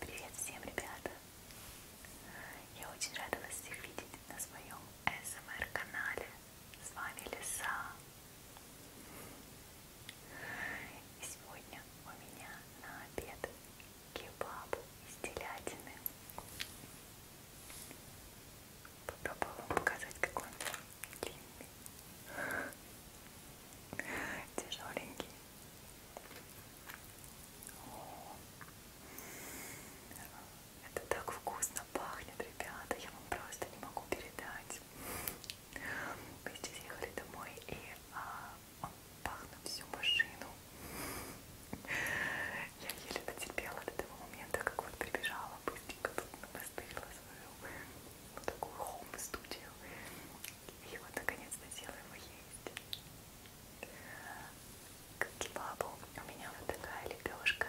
Привет всем, ребята! Я очень рада вас всех видеть на своем СМР-канале. С вами Лиса. И сегодня у меня на обед кебаб из телятины. Попробую вам показать, какой он длинный, тяжеленький. Это так вкусно пахнет, ребята, я вам просто не могу передать. Мы здесь ехали домой и а, пахнет всю машину. Я еле потерпела до того момента, как вот прибежала быстренько тут настырила свою вот такую хоум-студию и вот наконец-то села его есть. К кебабу у меня вот такая лепешка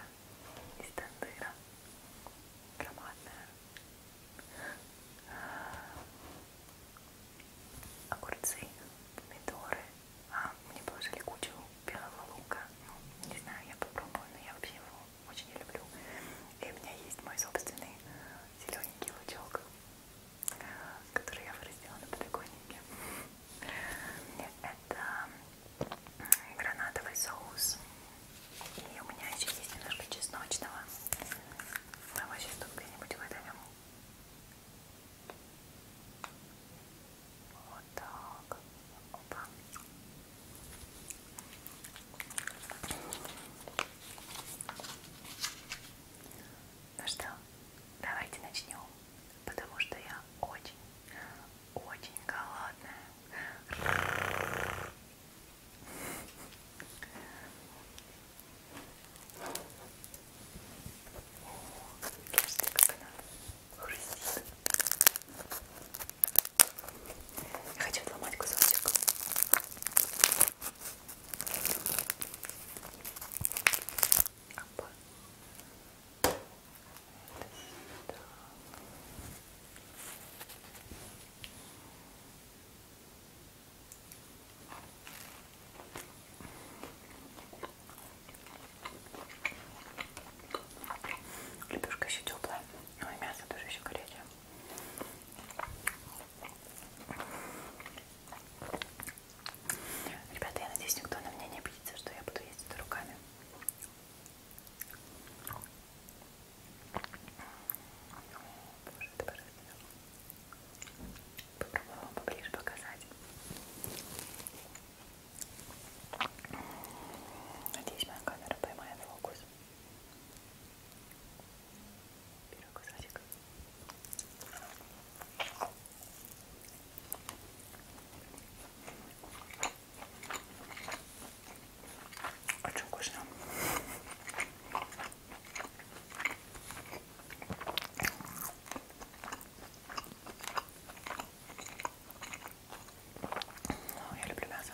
из тандыра. Громадная. Огурцы, помидоры. А, мне положили кучу белого лука. Ну, не знаю, я попробую, но я вообще его очень не люблю. И у меня есть мой собственный зелененький лучок, который я вырастила на подоконнике. Это гранатовый соус. И у меня еще есть немножко чесночного. Мы его сейчас тут где-нибудь выдавим. Вот так. Опа. Ну что, давайте начнем, потому что я очень, очень голодная. Слушайте, как она хрустит. Я хочу отломать кусочек. Опа. Это сюда. Лепешка еще теплая, но ну и мясо тоже еще горячее. Ребята, я надеюсь, никто на меня не обидится, что я буду ездить руками. Боже, это поразительно. Попробую вам поближе показать. Надеюсь, моя камера поймает фокус. Пирог садик. Очень вкусно. Ну, я люблю мясо.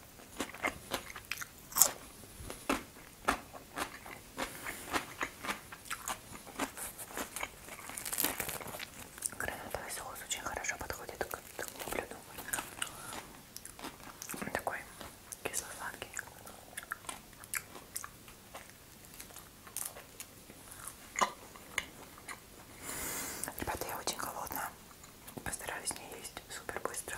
Гранатовый соус очень хорошо подходит к такому блюду. Он такой кисло-сладкий. Ребята, я очень голодная. Постараюсь не есть супер быстро.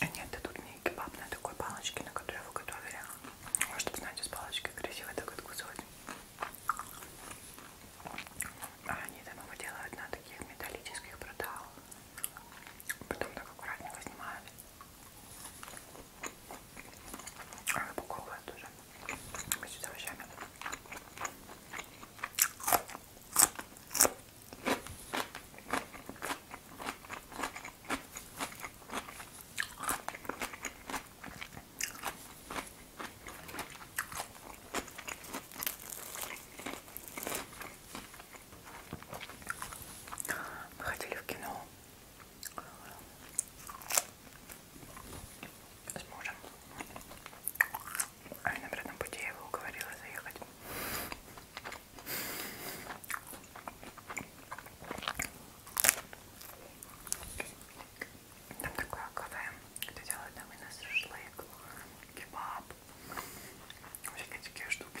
Они а отдадут мне кебаб на такой палочке, на которой его готовили. Чтобы, знаете, с палочкой красиво так откусывать. А они там его делают на таких металлических бруталах. Потом так аккуратненько снимают. А выпаковывают тоже. Вместе с овощами. Мы ходили в кино с мужем. А я на обратном пути я его уговорила заехать. Там такое кафе, где делают на вынос шашлык, кебаб, всякие такие штуки.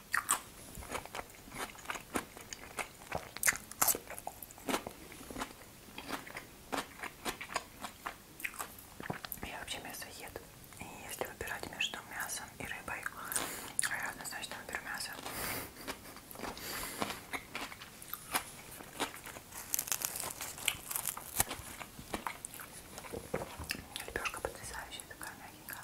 Я вообще мясоед. И если выбирать между мясом и рыбой, я однозначно выберу мясо. Лепешка потрясающая, такая мягенькая.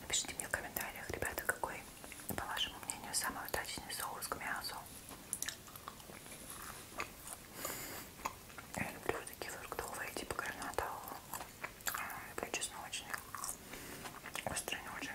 Напишите мне в комментариях, ребята, какой, по вашему мнению, самый удачный соус к мясу. Я люблю такие фруктовые, типа граната. Я люблю чесночные. Острые не очень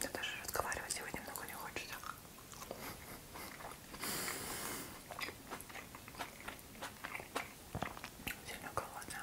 Да даже разговаривать сегодня много не хочется. Сильно голодно.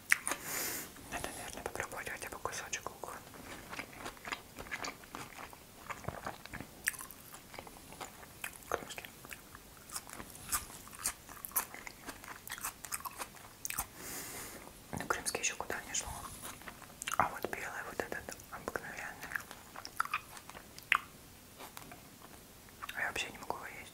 Надо, наверное, попробовать хотя бы кусочек лука. Кружки. Ну, крымский еще куда не шло. А вот белый, вот этот обыкновенный. А я вообще не могу его есть.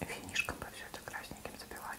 Финишком бы все это красненьким забивать.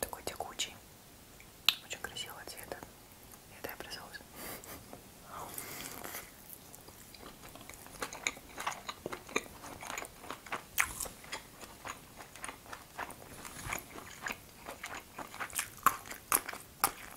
Такой текучий. Очень красивого цвета. Это я бросилась.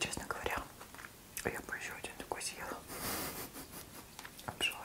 Честно говоря, я бы еще один такой съела. Обжора.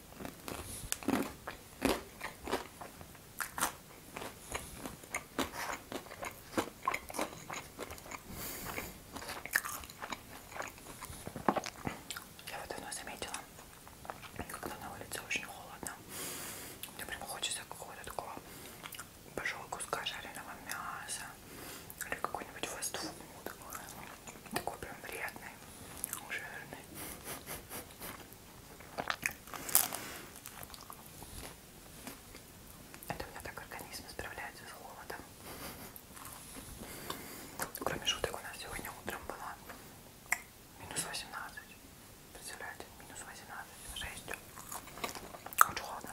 Я вот давно заметила, когда на улице очень холодно, мне прям хочется какого-то такого большого куска жареного мяса или какой-нибудь фастфуд, такой прям приятный. Жирный. Это у меня так организм справляется с холодом. Кроме шуток, у нас сегодня утром было минус 18. Представляете, минус 18, 6. Очень холодно.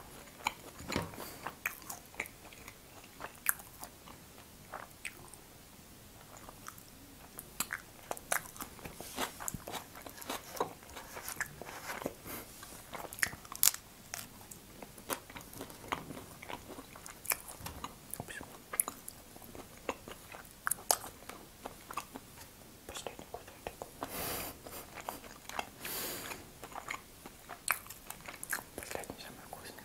Последний кусочек. Последний самый вкусный.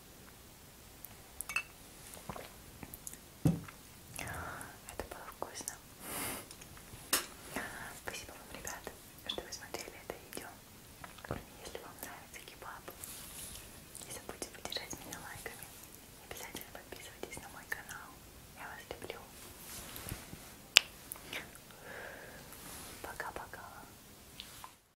Это было вкусно. Спасибо вам, ребята, что вы смотрели это видео. Если вам нравится кебаб, не забудьте поддержать меня лайками. Обязательно подписывайтесь на мой канал. Я вас люблю. Пока-пока.